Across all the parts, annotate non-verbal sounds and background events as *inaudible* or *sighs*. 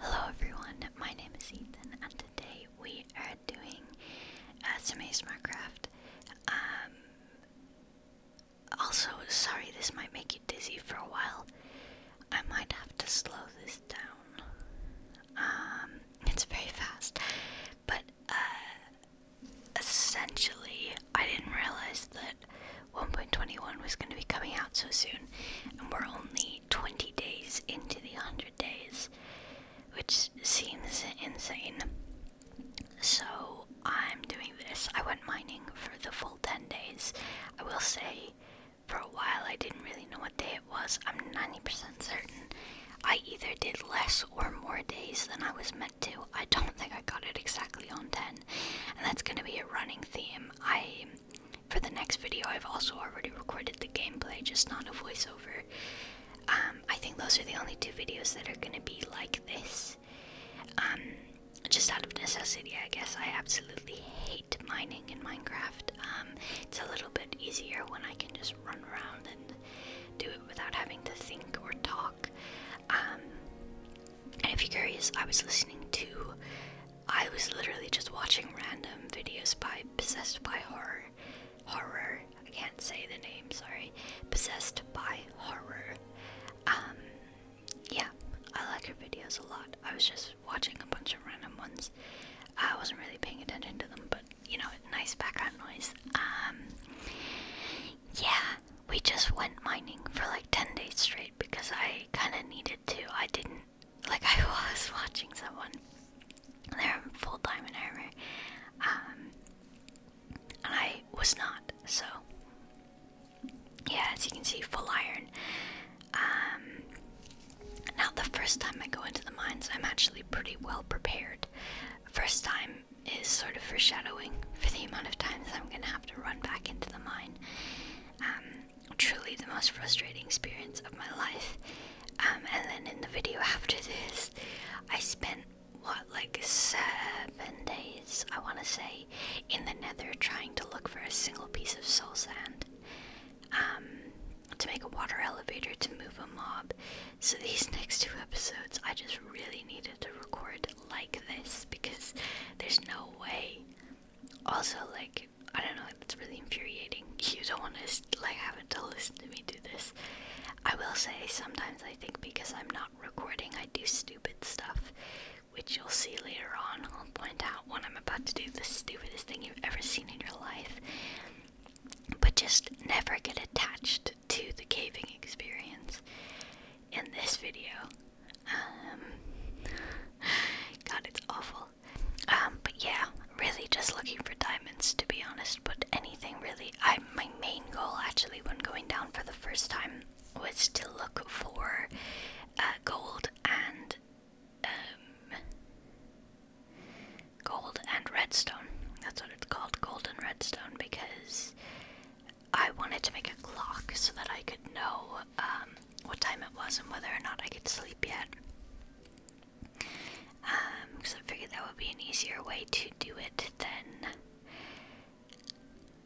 Hello everyone, my name is Ethan and today we are doing SMA uh, some um, also, sorry this might make you dizzy for a while. I might have to slow this down. Um, it's very fast, but uh, essentially, I didn't realize that 1.21 was going to be coming out so soon, and we're only 20 days into the 100 days, which seems insane. So, I'm doing this. I went mining for the full 10 days. I will say, for a while, I didn't really know what day it was. I'm 90% certain I either did less or more days than I was meant 2. I don't think I got it exactly on 10. And that's going to be a running theme. I for the next video I've also already recorded the gameplay, just not a voiceover. Um, I think those are the only two videos that are going to be like this. Um, just out of necessity, I guess. I absolutely hate mining in Minecraft. Um, it's a little bit easier when I can just run around and do it without having to think or talk. Um, and if you're curious, I was listening to, I was literally just watching random videos by Possessed by Horror. Horror. I can't say the name, sorry. Possessed by Horror. Um, yeah, I like her videos a lot. I was just watching a bunch of random ones. I wasn't really paying attention to them, but you know, nice background noise. Um, yeah, we just went mining for like 10 days straight because I kind of needed to. I didn't, like, *laughs* I was watching someone. They're full diamond armor. Um, and I was not, so. Yeah, as you can see, full iron. Um, now, the first time I go into the mines, I'm actually pretty well prepared. First time, is sort of foreshadowing for the amount of times I'm gonna have to run back into the mine. Um, truly the most frustrating experience of my life. Um, and then in the video after this, I spent what like seven days, I want to say, in the Nether trying to look for a single piece of soul sand. Um, to make a water elevator to move a mob. So these *laughs* next two episodes, I just really needed to record like this because there's no way. Also, like, I don't know, it's really infuriating. *laughs* You don't want to, like, have to listen to me do this. I will say sometimes I think because I'm not recording, I do stupid stuff, which you'll see later on. I'll point out when I'm about to do the stupidest thing you've ever seen in your life. But just never get attached to the caving experience in this video. Um, *laughs* God, it's awful. Um, but yeah, really just looking for diamonds to be honest, but anything really. I my main goal actually when going down for the first time was to look for uh, gold and um, gold and redstone. That's what it's called, gold and redstone, because I wanted to make a clock so that I could know um, what time it was and whether or not I could sleep yet. Because um, I figured that would be an easier way to do it than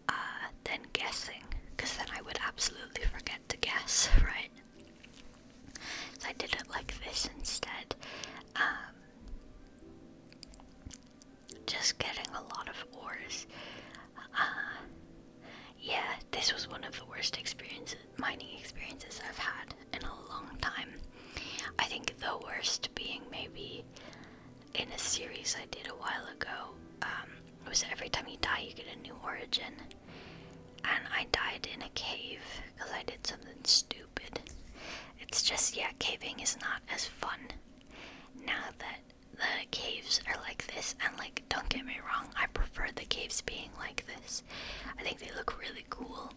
uh, than guessing. Because then I would absolutely forget to guess, *laughs* right? So I did it like this instead. Um, just getting a lot of ores. Uh, yeah, this was one of the worst experiences, mining experiences I've had in a long time. I think the worst being maybe in a series I did a while ago. Um, it was every time you die, you get a new origin. And I died in a cave because I did something stupid. It's just, yeah, caving is not as fun now that the caves are like this, and like, don't get me wrong, I prefer the caves being like this. I think they look really cool.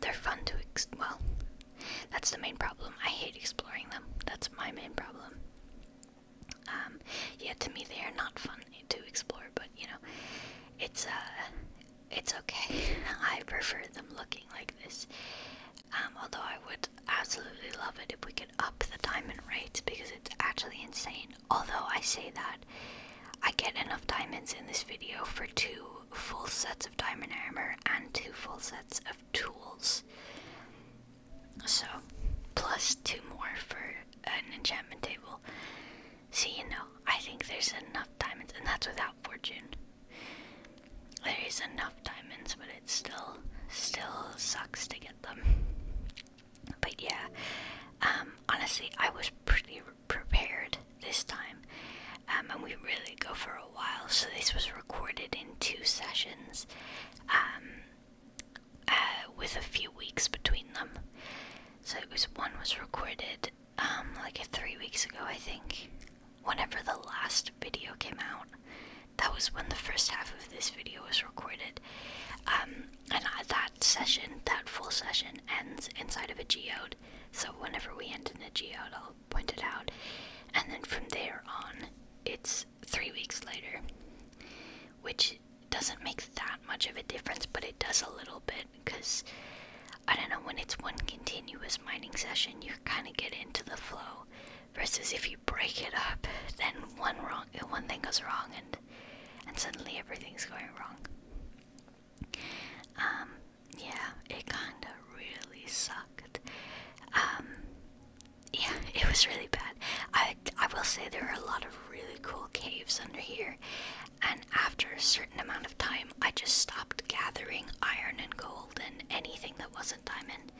They're fun to well, that's the main problem. I hate exploring them. That's my main problem. Um, yeah, to me they are not fun to explore, but you know, it's uh, it's okay. *laughs* I prefer them looking like this. Um, although I would absolutely love it if we could up the diamond rates because it's actually insane. Although I say that, I get enough diamonds in this video for two full sets of diamond armor and two full sets of tools. So, plus two more for an enchantment table. So, you know, I think there's enough diamonds, and that's without fortune there is enough diamonds, but it still still sucks to get them. But yeah, um, honestly, I was pretty prepared this time, um, and we really go for a while. So this was recorded in two sessions, um, uh, with a few weeks between them. So it was one was recorded like three weeks ago, I think, whenever the last video came out, that was when the first half of this video was recorded. Um, and I, that session, that full session, ends inside of a geode. So whenever we end in a geode, I'll point it out. And then from there on, it's three weeks later, which doesn't make that much of a difference, but it does a little bit because I don't know when it's one continuous mining session, you kind of get into the flow versus if you break it up then one wrong one thing goes wrong and and suddenly everything's going wrong um yeah it kind of really sucked um yeah *laughs* it was really bad i i will say there are a lot of really cool caves under here and after a certain amount of time i just stopped gathering iron and gold and anything that wasn't diamond.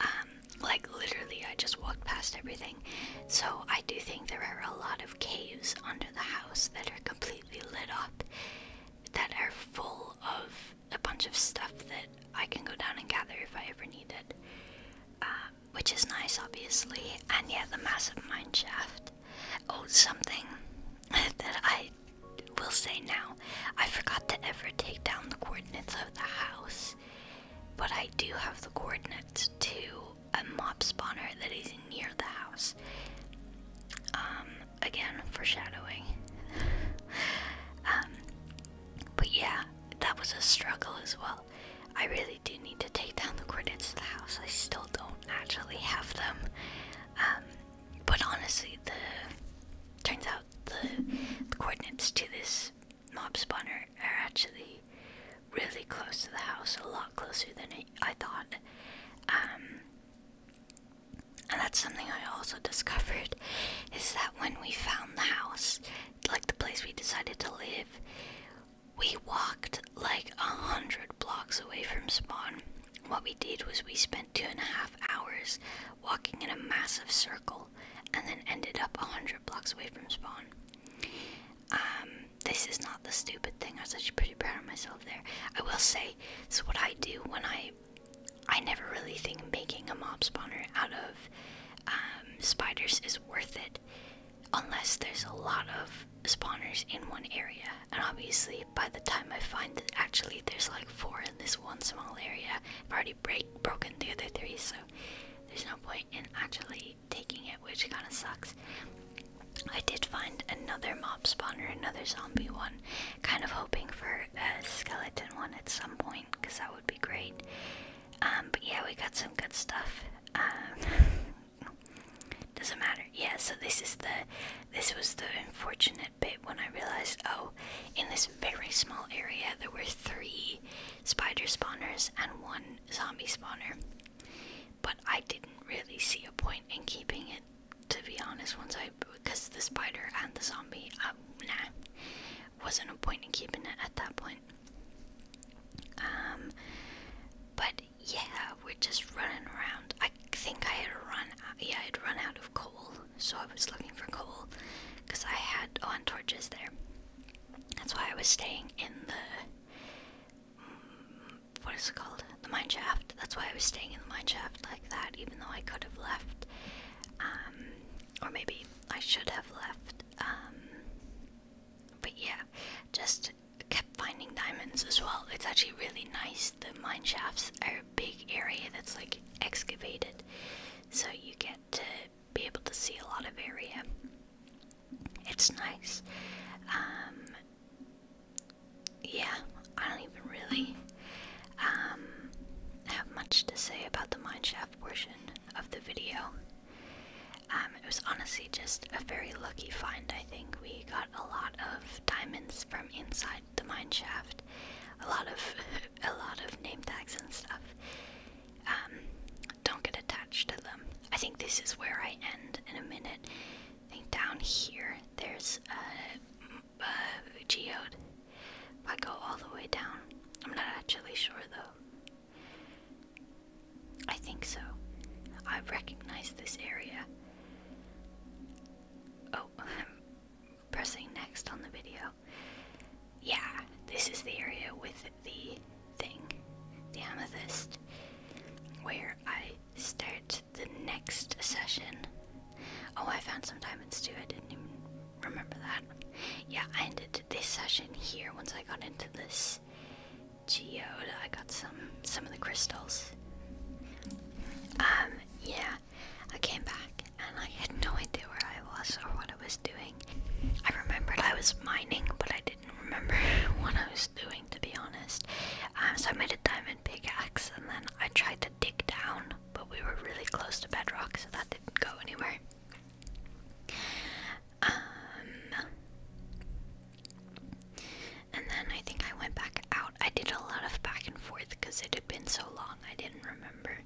Um, like literally, I just walked past everything. So I do think there are a lot of caves under the house that are completely lit up, that are full of a bunch of stuff that I can go down and gather if I ever need it. Um, which is nice, obviously. And yet the massive mine shaft. Oh, something *laughs* that I we will say now, I forgot to ever take down the coordinates of the house, but I do have the coordinates to a mob spawner that is near the house. Um, again, foreshadowing. *laughs* um, but yeah, that was a struggle as well. I really do need to take down the coordinates of the house. I still don't actually have them. Um, but honestly, the turns out the, coordinates to this mob spawner are actually really close to the house, a lot closer than I, thought. Um, and that's something I also *laughs* discovered is that when we found the house, like the place we decided to live, we walked like a hundred blocks away from spawn. What we did was we spent two and a half hours walking in a massive circle, and then ended up a hundred blocks away from spawn. Um, this is not the stupid thing. I was actually pretty proud of myself there. I will say, it's what I do when I. I never really think making a mob spawner out of um, spiders is worth it, unless there's a lot of spawners in one area. And obviously, by the time I find that actually there's like four in this one small area. I've already break broken the other three, so there's no point in actually taking it, which kind of sucks. I did find another mob spawner, another zombie one. Kind of hoping for a skeleton one at some point, because that would be great. Um, but yeah, we got some good stuff. Um, *laughs* doesn't matter. Yeah, so this is the this was the unfortunate bit when I realized oh, in this very small area there were three spider spawners and one zombie spawner. But I didn't really see a point in keeping it, to be honest, once I. because the spider and the zombie, uh, nah, wasn't a point in keeping it at that point. Um, but yeah, we're just running around. I think I had run out, yeah, I'd run out of coal, so I was looking for coal because I had on torches there. That's why I was staying in the mm, what is it called? The mine shaft. That's why I was staying in the mine shaft like that, even though I could have left, um, or maybe I should have left. Um, but yeah, just kept finding diamonds as well. It's actually really nice. The mine shafts are big area that's like excavated. So you get to be able to see a lot of area. It's nice. Um, yeah, I don't even really um, have much to say about the mineshaft portion of the video. Um, it was honestly just a very lucky find, I think. We got a lot of diamonds from inside the mine shaft. A lot of *laughs* a lot of name tags and stuff. Um, don't get attached to them. I think this is where I end in a minute. I think down here there's a, a geode. If I go all the way down, I'm not actually sure though. I think so. I recognize this area. Oh, *laughs* pressing next on the video. Yeah, this is the area with the thing, the amethyst, where I start the next session. Oh, I found some diamonds too, I didn't even remember that. Yeah, I ended this session here once I got into this geode. I got some some of the crystals. Um, yeah, I came back and I had no idea where I was or what I was doing. I remembered I was mining, but I didn't remember *laughs* what I was doing to be honest. Um, so I made a diamond pickaxe and then I tried to dig down, but we were really close to bedrock, so that didn't go anywhere. Um, and then I think I went back out I did a lot of back and forth because it had been so long I didn't remember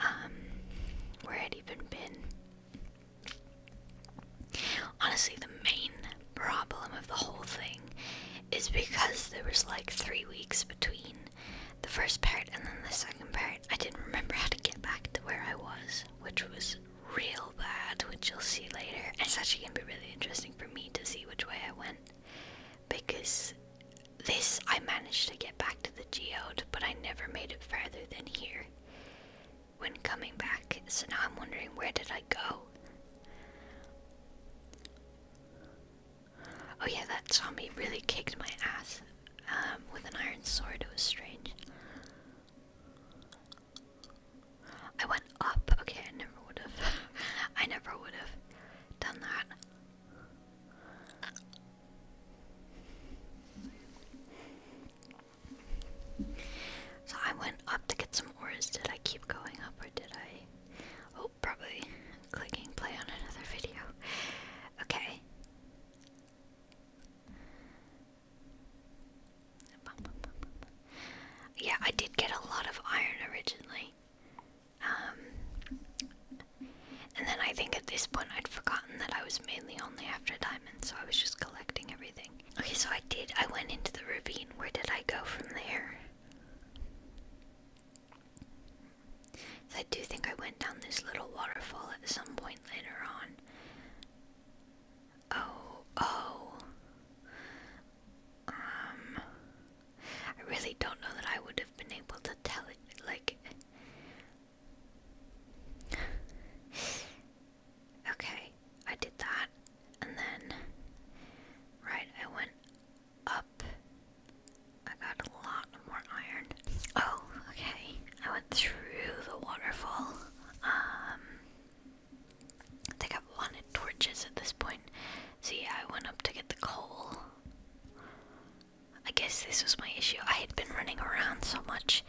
um, where I'd even been. Honestly, the main problem of the whole thing is because there was like three weeks between the first part and then the second part. I didn't remember how to get back to where I was, which was real bad, which you'll see later. It's actually gonna be really interesting for me to see which way I went because this I managed to get back to the geode, but I never made it farther than here when coming back. So now I'm wondering where did I go? Oh yeah, that zombie really kicked my ass um, with an iron sword. It was strange. I up. Okay, I never would have. *laughs* I never would have done that. So I went up to get some ores. Did I keep going up or did I? Oh, probably clicking play on another video. Okay. Yeah, I did get a lot of iron originally. Um, and then I think at this point I'd forgotten that I was mainly only after diamonds, so I was just collecting everything. Okay, so I did. I went into the ravine. Where did I go from there? I do think I went down this little waterfall at some point later on. Oh, oh. Um, I really don't know that I would have been able to tell it. Like, okay, I did that, and then, right, I went up. I got a lot more iron. Oh, okay. I went through the waterfall. Um, I think I've wanted torches at this point. See, yeah, I went up to get the coal. I guess this was my issue. I had been running around so much,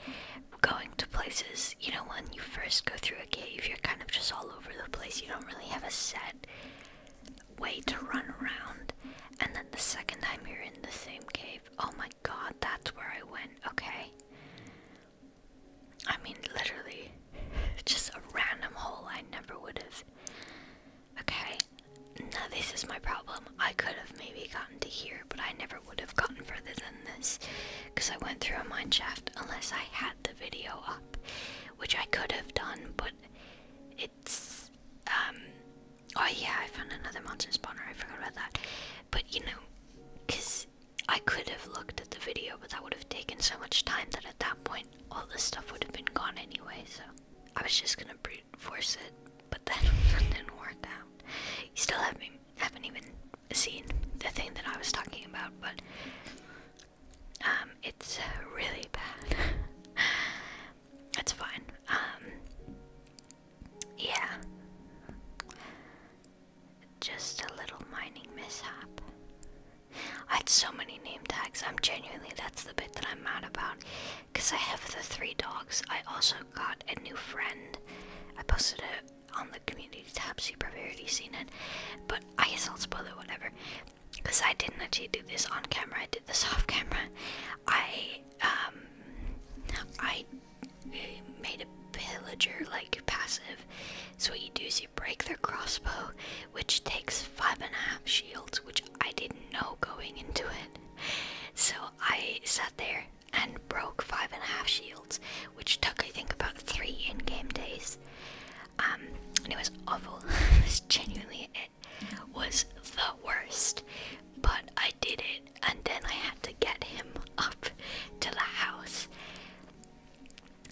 going to places. You know, when you first go through a cave, you're kind of just all over the place. You don't really have a set way to run around. And then the second time you're in the same cave, oh my god, that's where I went. Okay. I mean, literally, just a random hole I never would have. Okay, now this is my problem. I could have maybe gotten to here, but I never would have gotten further than this because I went through a mine shaft unless I had the video up, which I could have done, but it's. um. Oh, yeah, I found another monster spawner. I forgot about that. But you know, because I could have looked at the video, but that would have taken so much time that at that point all this stuff would have been gone anyway, so I was just gonna brute force it, but that *laughs* didn't work out. You still haven't, haven't even seen the thing that I was talking about, but um, it's really bad. *laughs* That's fine. Um, yeah. Just a little mining mishap. I had so many name tags. I'm genuinely, that's the bit that I'm mad about. Because I have the three dogs. I also got a new friend. I posted it on the community tab, so you've probably already seen it. But I guess I'll spoil it, whatever. Because I didn't actually do this on camera, I did this *laughs* off camera. I, um, I eh, made a pillager like passive. So what you do is you break their crossbow which takes five and a half shields, which I didn't know going into it. So I sat there and broke five and a half shields, which took I think about three in-game days. Um, and it was awful. *laughs* it was genuinely it was the worst. But I did it, and then I had to get him *laughs* up to the house.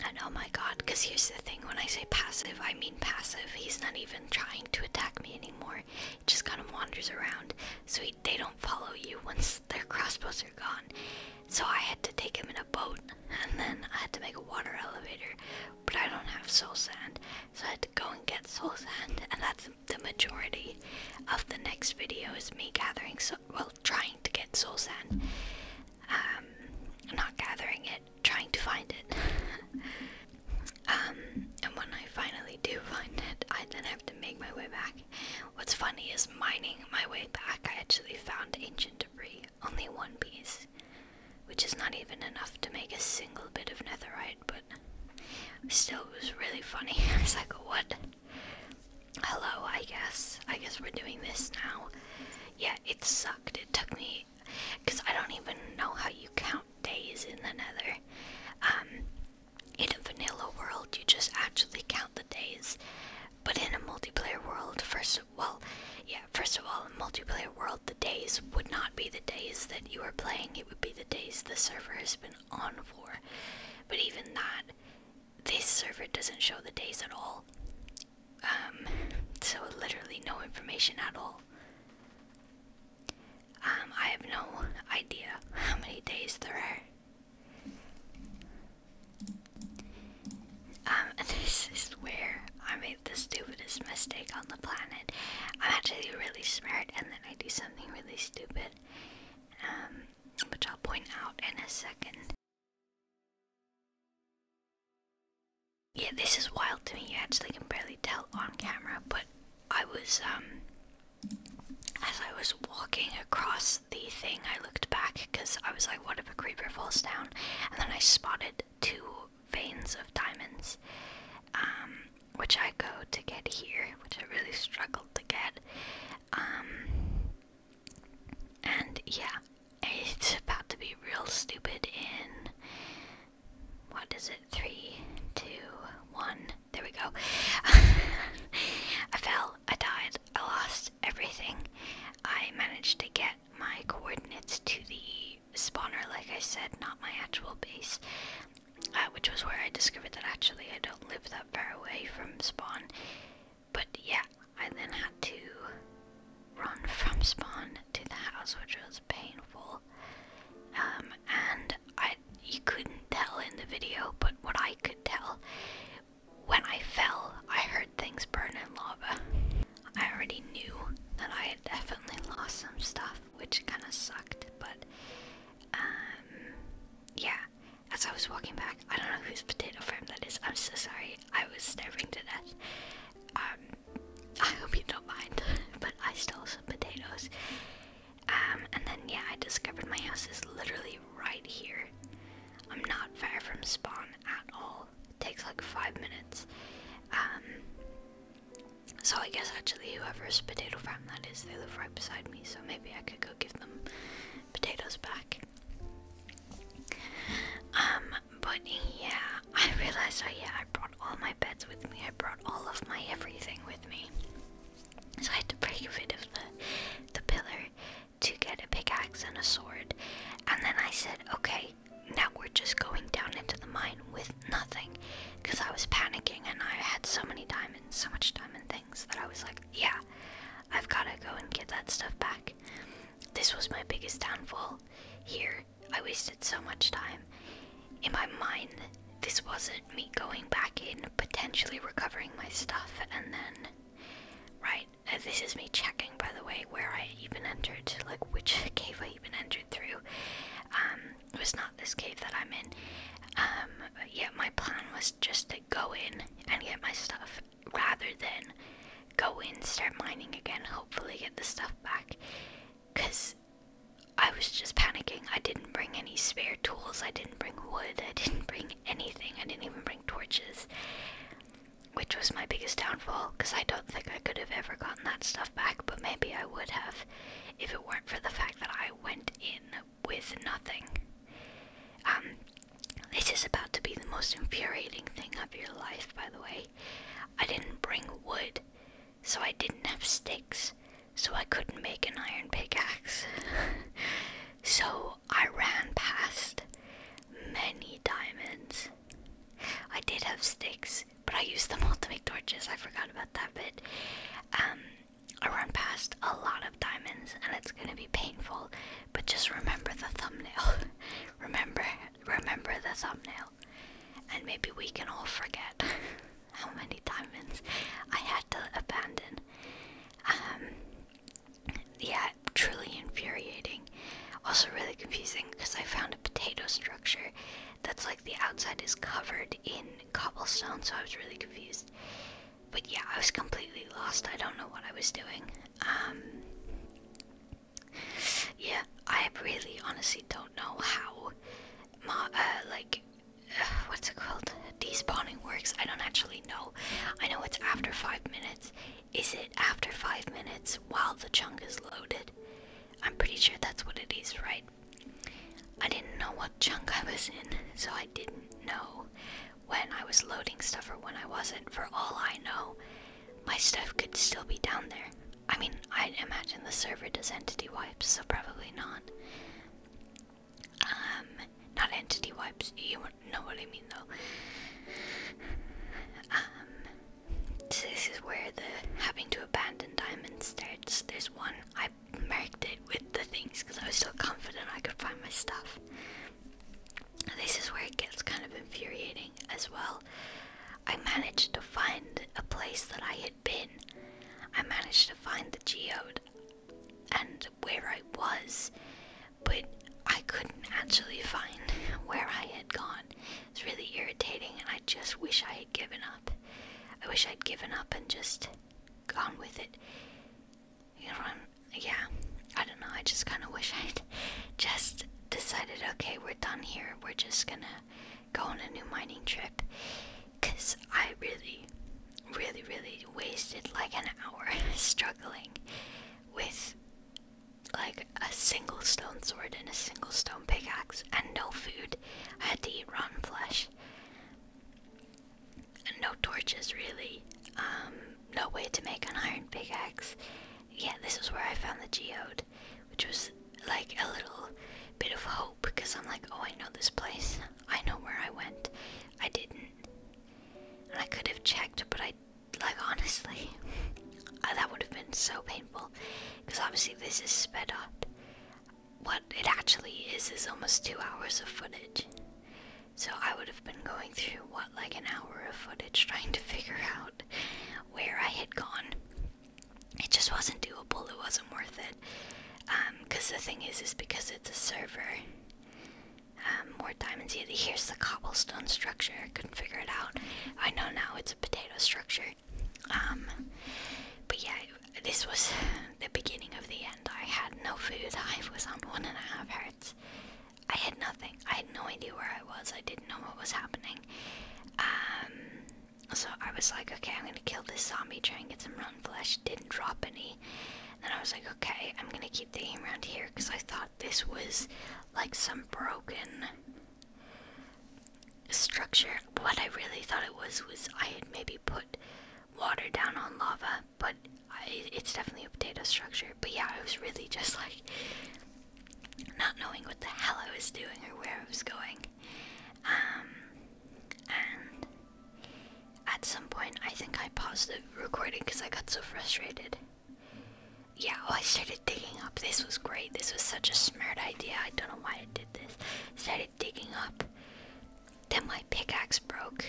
And oh my god, because here's the thing when I say passive, I mean passive. He's not even trying to attack me anymore, he just kind of wanders around. So they don't follow you once their crossbows are gone. So I had to take him in a boat, and then I had to make a water elevator. But I don't have soul sand, so I had to go and get soul sand, and that's the majority of the next video is me gathering, so well, trying to get soul sand um, not gathering it, trying to find it. *laughs* um, and when I finally do find it, I then have to make my way back. What's funny is mining my way back, I actually found ancient debris, only one piece, which is not even enough to make a single bit of netherite, but still it was really funny. *laughs* It's was like, what? Hello, I guess. I guess we're doing this now yeah, it sucked. It took me, because I don't even know how you count days in the nether. Um, in a vanilla world, you just actually count the days. But in a multiplayer world, first of well, yeah, first of all, in multiplayer world, the days would not be the days that you are playing. It would be the days the server has been on for. But even that, this server doesn't show the days at all. Um, so literally no information at all. Um, I have no idea how many days there are. Um, *laughs* this is where I made the stupidest mistake on the planet. I'm actually really smart, and then I do something really stupid, um, which I'll point out in a second. Yeah, this is wild to me. You actually can barely tell on camera, but I was, um, as I was walking across the thing, I looked back because I was like, what if a creeper falls down? And then I spotted two veins of diamonds, um, which I go to get here, which I really struggled to get. Um, and yeah, it's about to be real stupid in what is it? Three, two, one. There we go. *laughs* I fell, I died, I lost everything. I managed to get my coordinates to the spawner, like I said, not my actual base, uh, which was where I discovered that actually I don't live that far away from spawn. But yeah, I then had to run from spawn to the house, which was painful. Um, and I, you couldn't tell in the video, but what I could tell, when I fell, I heard things burn in lava. I already knew that I had definitely lost some stuff, which kind of sucked, but um, yeah. As I was walking back, I don't know whose potato farm that is, I'm so sorry. I was starving to death. Um, I hope you don't mind, *laughs* but I stole some potatoes. Um, and then yeah, I discovered my house is literally right here. I'm not far from spawn at all. It takes like five minutes. Um, so I guess actually whoever's potato farm that is, they live right beside me. So maybe I could go give them potatoes back. Um, but yeah, I realized oh yeah, I brought all my beds with me. I brought all of my everything with me. So I had to break a bit of the the pillar to get a pickaxe and a sword. And then I said, okay, now we're just going down into the mine with nothing. Because I was panicking and I had so many diamonds, so much diamond things that I was like, yeah, I've gotta go and get that stuff back. This was my biggest downfall. Here, I wasted so much time. In my mind, this wasn't me going back in, potentially recovering my stuff, and then. Right, uh, this is me checking, by the way, where I even entered, like which *laughs* cave I even entered through. Um, it was not this cave that I'm in. Um, yeah, my plan was just to go in and get my stuff rather than go in, start mining again, hopefully get the stuff back. Because I was just panicking. I didn't bring any spare tools, I didn't bring wood, I didn't *laughs* bring anything, I didn't even bring torches. Which was my biggest downfall, because I don't think I could have ever gotten that stuff back, but maybe I would have if it weren't for the fact that I went in with nothing. Um, this is about to be the most infuriating thing of your life, by the way. I didn't bring wood, so I didn't have sticks, so I couldn't make an iron pickaxe. *laughs* so I ran past many diamonds. I did have sticks, but I used them all to make torches. I forgot about that But um, I ran past a lot of diamonds, and it's gonna be painful, but just remember the thumbnail. *laughs* Remember, remember the thumbnail, and maybe we can all forget *laughs* how many diamonds I had to abandon. Um, yeah, truly infuriating. Also, really confusing because I found a potato structure that's like the outside is covered in cobblestone, so I was really confused. But yeah, I was completely lost. I don't know what I was doing. Um, yeah, I really honestly don't know how, ma uh, like, uh, what's it called? Despawning works. I don't actually know. I know it's after five minutes. Is it after five minutes while the chunk is loaded? I'm pretty sure that's what it is, right? I didn't know what chunk I was in, so I didn't know when I was loading stuff or when I wasn't. For all I know, my stuff could still be down there. I mean, i imagine the server does entity wipes, so probably not. Um, not entity wipes, you know what I mean though. Um, this is where the having to abandon diamond starts. There's one, I marked it with the things because I was so confident I could find my stuff this is where it gets kind of infuriating as well. I managed to find a place that I had been. I managed to find the geode and where I was, but I couldn't actually find *laughs* where I had gone. It's really irritating, and I just wish I had given up. I wish I'd given up and just gone with it. You know, i yeah, I don't know. I just kind of wish I'd *laughs* just decided, okay, we're done here. We're just gonna go on a new mining trip. Because I really, really, really wasted like an hour *laughs* struggling with like a single stone sword and a single stone pickaxe and no food. I had to eat rotten flesh. And no torches, really. Um, no way to make an iron pickaxe. Yeah, this is where I found the geode, which was like a little bit of hope because I'm like, oh, I know this place. I know where I went. I didn't. And I could have checked, but I, like, *laughs* honestly, that would have been so painful because obviously this is sped up. What it actually is is almost two hours of footage. So I would have been going through what, like an hour of footage trying to figure out where I had gone. It just wasn't doable, it wasn't worth it. Because um, the thing is, is because it's a server, um, more diamonds. Yeah, here's the cobblestone structure, I couldn't figure it out. I know now it's a potato structure. Um, but yeah, this was the beginning of the end. I had no food, *laughs* I was on one and a half hertz. I had nothing. I had no idea where I was. I didn't know what was happening. Um, so I was like, okay, I'm gonna kill this zombie, trying to get some rotten flesh. Didn't drop any. Then I was like, okay, I'm gonna keep the aim around here because I thought this was like some broken structure. What I really thought it was was I had maybe put water down on lava but it's definitely a potato structure. But yeah, I was really just like not knowing what the hell I was doing or where I was going. Um, and at some point, I think I paused the recording because I got so frustrated. Yeah, oh, I started digging up. This was great. This was such a smart idea. I don't know why I did this. Started digging up. Then my pickaxe broke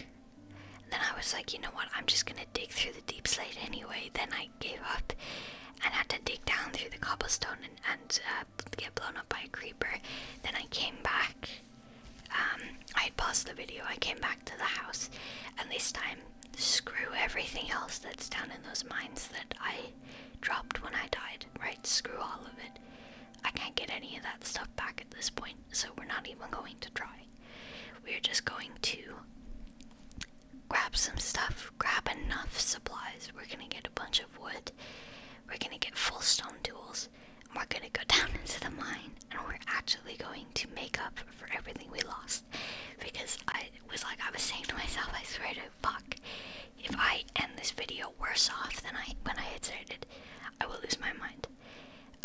then I was like, you know what? I'm just gonna dig through the deep slate anyway. Then I gave up and had to dig down through the cobblestone and, uh, get blown up by a creeper. Then I came back. Um, I paused the video. I came back to the house, and this time, screw everything else that's down in those mines that I dropped when I died. Right? Screw all of it. I can't get any of that stuff back at this point, so we're not even going to try. We're just going to grab some stuff, grab enough supplies. We're gonna get a bunch of wood, we're gonna get full stone tools, and we're gonna go *laughs* down into the mine and we're actually going to make up for everything we lost. Because I was like, I was saying to myself, I swear to fuck, if I end this video worse off than I when I had started, I will lose my mind.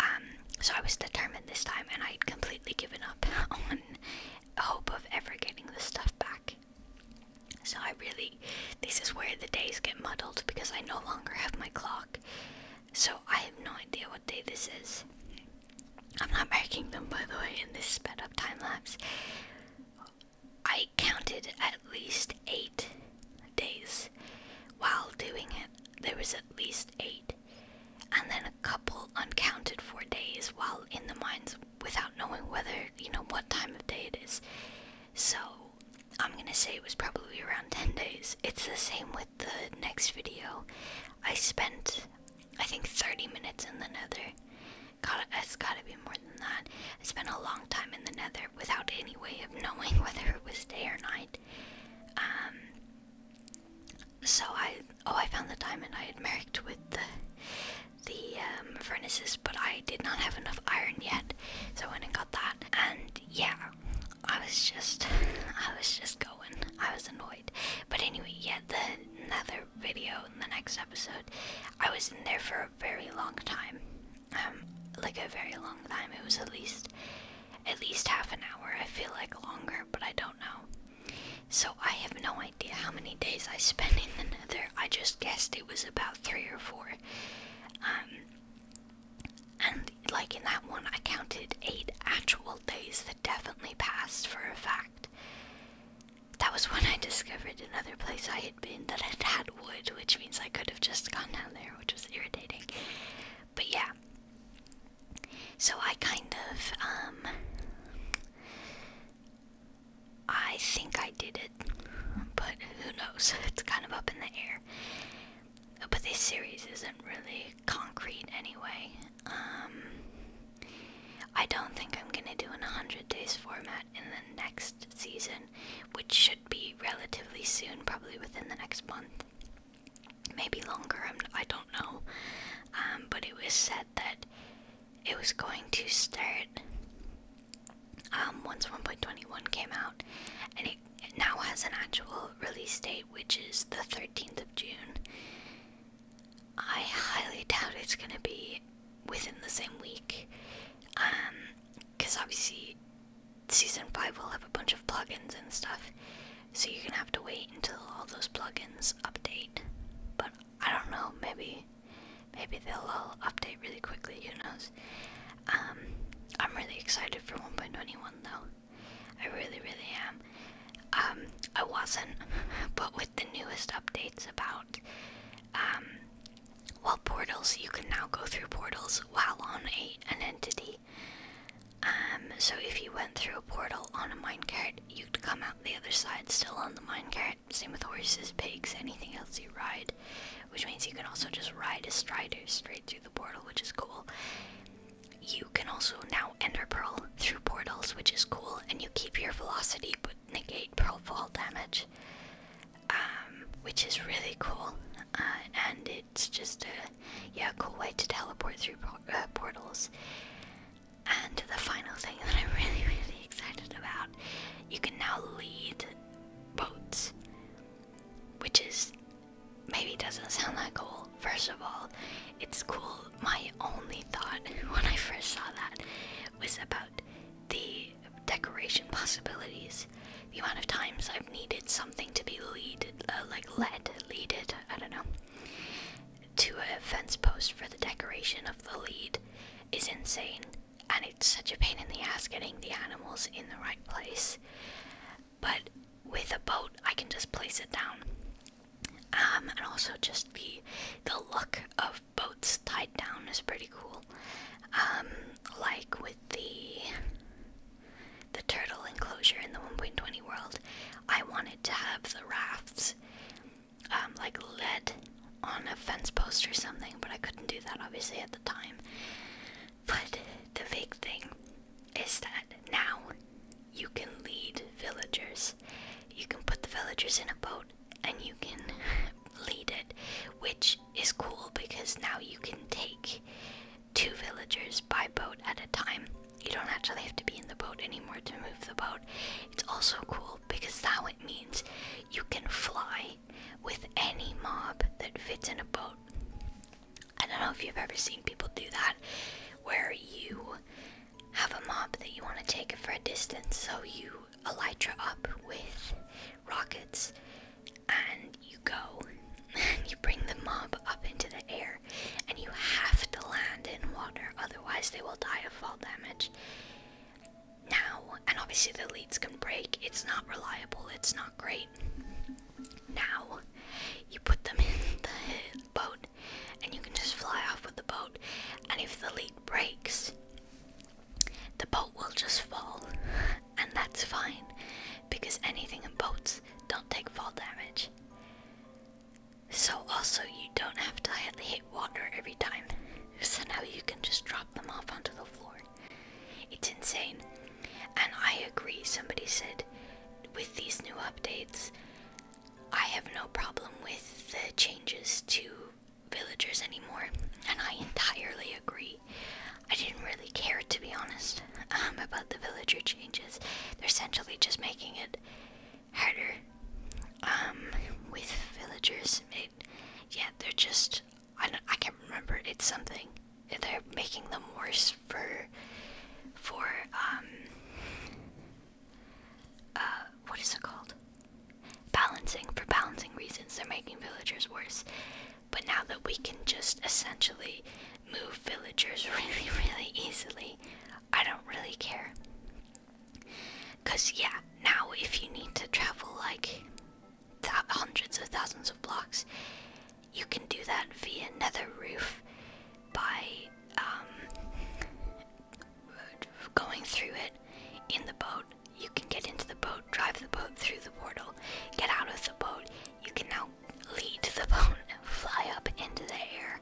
Um, so I was determined this time, and I would completely given up *laughs* on hope of ever getting the stuff back. So I really, this is where the days get muddled because I no longer have my clock. So I have no idea what day this is. I'm not making them, by the way, in this sped up time lapse. I counted at least eight days while doing it there was at least eight, and then a couple uncounted for days while in the mines without knowing whether, you know, what time of day it is. So, I'm gonna say it was probably around 10 days. It's the same with the next video. I spent, I think, 30 minutes in the nether. got it's gotta be more than that. I spent a long time in the nether without any way of knowing *laughs* whether it was day or night. Um, so I oh I found the diamond I had marked with the the um, furnaces, but I did not have enough iron yet, so I went and got that. And yeah, I was just I was just going. I was annoyed, but anyway, yeah. The another video in the next episode, I was in there for a very long time. Um, like a very long time. It was at least at least half an hour. I feel like longer, but I don't know. So I have no idea how many days I spent in another. I just guessed it was about three or four. Um, and like in that one, I counted eight actual days that definitely passed for a fact. That was when I discovered another place I had been that had had wood, which means I could have just gone down there, which was irritating. But yeah. So I kind of, um, I think I did it, but who knows? *laughs* It's kind of up in the air. But this series isn't really concrete anyway. Um, I don't think I'm gonna do an 100 days format in the next season, which should be relatively soon, probably within the next month maybe longer, I'm, I do not know. Um, but it was said that it was going to start um, once 1.21 came out, and it, now has an actual release date, which is the 13th of June. I highly doubt it's going to be within the same week, because um, obviously season 5 will have a bunch of plugins and stuff, so you're gonna have to wait until all those plugins update. But I don't know, maybe maybe they'll all update really quickly, who knows? Um, I'm really excited for 1.21 though. I really, really am. Um, I wasn't, *laughs* but with the newest updates about, um, well, portals, you can now go through portals while on a, an entity. Um, so if you went through a portal on a minecart, you'd come out the other side still on the minecart. Same with horses, pigs, anything else you ride. Which means you can also just ride a strider straight through the portal, which is cool. You can also now enter Pearl through portals, which is cool, and you keep your velocity but negate Pearl fall damage. Um, which is really cool. Uh, and it's just a yeah, cool way to teleport through uh, portals. And the final thing *laughs* that I'm really, really excited about, you can now lead boats, which is maybe doesn't sound that cool. First of all, it's cool. My only thought *laughs* when I first saw that was about the decoration possibilities. The amount of times I needed something to be lead, uh, like lead, leaded, I don't know, to a fence post for the decoration of the lead is insane. And it's such a pain in the ass getting the animals in the right place. But with a boat, I can just place it down. Um, and also just the the look of boats tied down is pretty cool. Um, like with the the turtle enclosure in the 1.20 world, I wanted to have the rafts um, like lead on a fence post or something, but I couldn't do that obviously at the time. But the big thing is that now you can lead villagers. You can put the villagers in a boat and you can *laughs* lead it, which is cool because now you can take two villagers by boat at a time. You don't actually have to be in the boat anymore to move the boat. It's also cool because that it means you can fly with any mob that fits in a boat. I don't know if you've ever seen people do that, where you have a mob that you want to take for a distance, so you elytra up with rockets and you go *laughs* you bring the mob up into the air and you have to land in water, otherwise, they will die of fall damage. Now, and obviously, the leads can break, it's not reliable, it's not great. Now, you put them *laughs* in the boat and you can just fly off with the boat, and if the lead breaks, the boat will just fall, and that's fine because anything in boats don't take fall damage. So, also, you don't have to hit water every time. So now you can just drop them off onto the floor. It's insane. And I agree, somebody said with these new updates, I have no problem with the changes to villagers anymore. And I entirely agree. I didn't really care, to be honest, um, about the villager changes. They're essentially just making it harder um, with villagers. yeah, they're just. I, don't, I can't remember. It's something. They're making them worse for. For. Um, uh, what is it called? Balancing. For balancing reasons, they're making villagers worse. But now that we can just essentially move villagers *laughs* really, really easily, I don't really care. Because, yeah, now if you need to travel like hundreds of thousands of blocks, you can do that via Nether Roof by um, going through it in the boat. You can get into the boat, drive the boat through the portal, get out of the boat. You can now lead the bone fly up into the air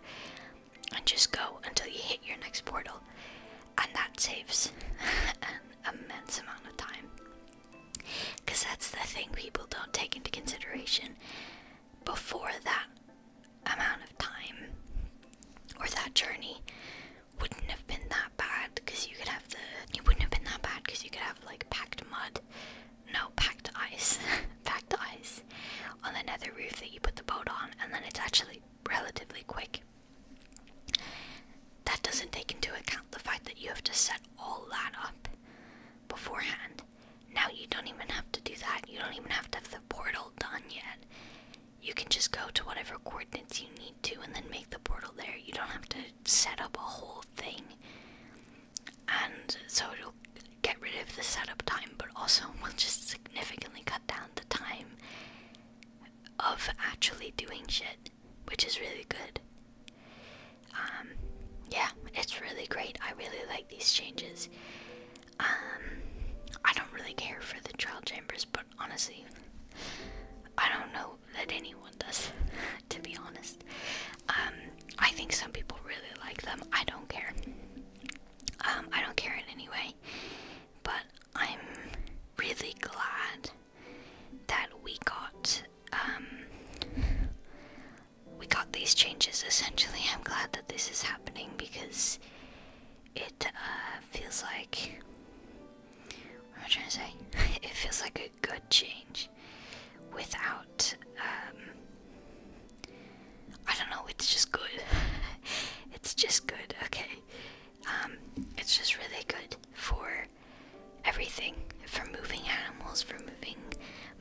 and just go until you hit your next portal. And that saves *laughs* an immense amount of time. Because that's the thing people don't take into consideration. Before that amount of time or that journey wouldn't have been that bad because you could have the. It wouldn't have been that bad because you could have like packed mud no, packed ice. *laughs* packed ice on the nether roof that you put the boat on, and then it's actually relatively quick. That doesn't take into account the fact that you have to set all that up beforehand. Now you don't even have to do that. You don't even have to have the portal done yet. You can just go to whatever coordinates you need to and then make the portal there. You don't have to set up a whole thing and so it'll get rid of the setup time, but also we *laughs* will just significantly cut down the time of actually doing shit, which is really good. Um, yeah, it's really great. I really like these changes. Um, I don't really care for the trial chambers, but honestly, I don't know that anyone does. *laughs* to be honest. Um, I think some people really like them. I don't care. Um, I don't care in any way. But I'm really glad that we got um, we got these changes. Essentially, I'm glad that this is happening because it uh, feels like. What am I trying to say? *laughs* it feels like a good change without um, I don't know it's just good *laughs* it's just good okay um, it's just really good for everything for moving animals for moving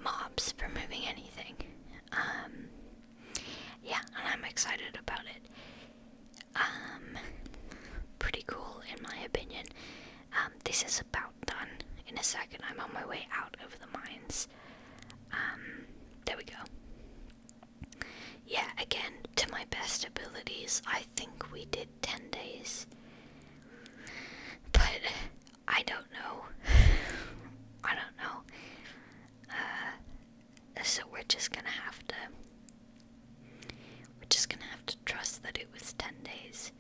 mobs for moving anything um, yeah and I'm excited about it pretty cool in my opinion um, this is about done. In a second, I'm on my way out of the mines. Um, there we go. Yeah, again, to my best abilities, I think we did 10 days. But I don't know. *sighs* I don't know. Uh, so we're just gonna have to. We're just gonna have to trust that it was 10 days.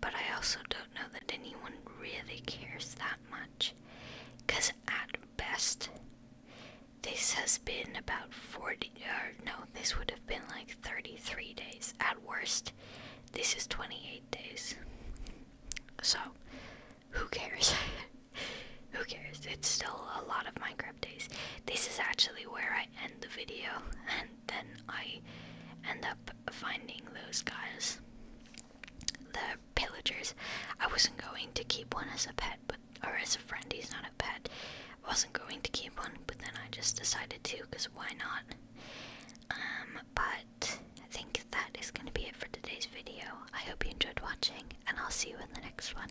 But I also don't know that anyone really cares that much. Cause at best, this has been about 40, or er, no, this would have been like 33 days. At worst, this is 28 days. So, who cares? *laughs* who cares? It's still a lot of Minecraft days. This is actually where I end the video, then I end up finding those guys. The pillagers. I wasn't going to keep one as a pet, but or as a friend, he's not a pet. I wasn't going to keep one, but then I just decided to, because why not? Um, but I think that is going to be it for today's video. I hope you enjoyed watching, and I'll see you in the next one.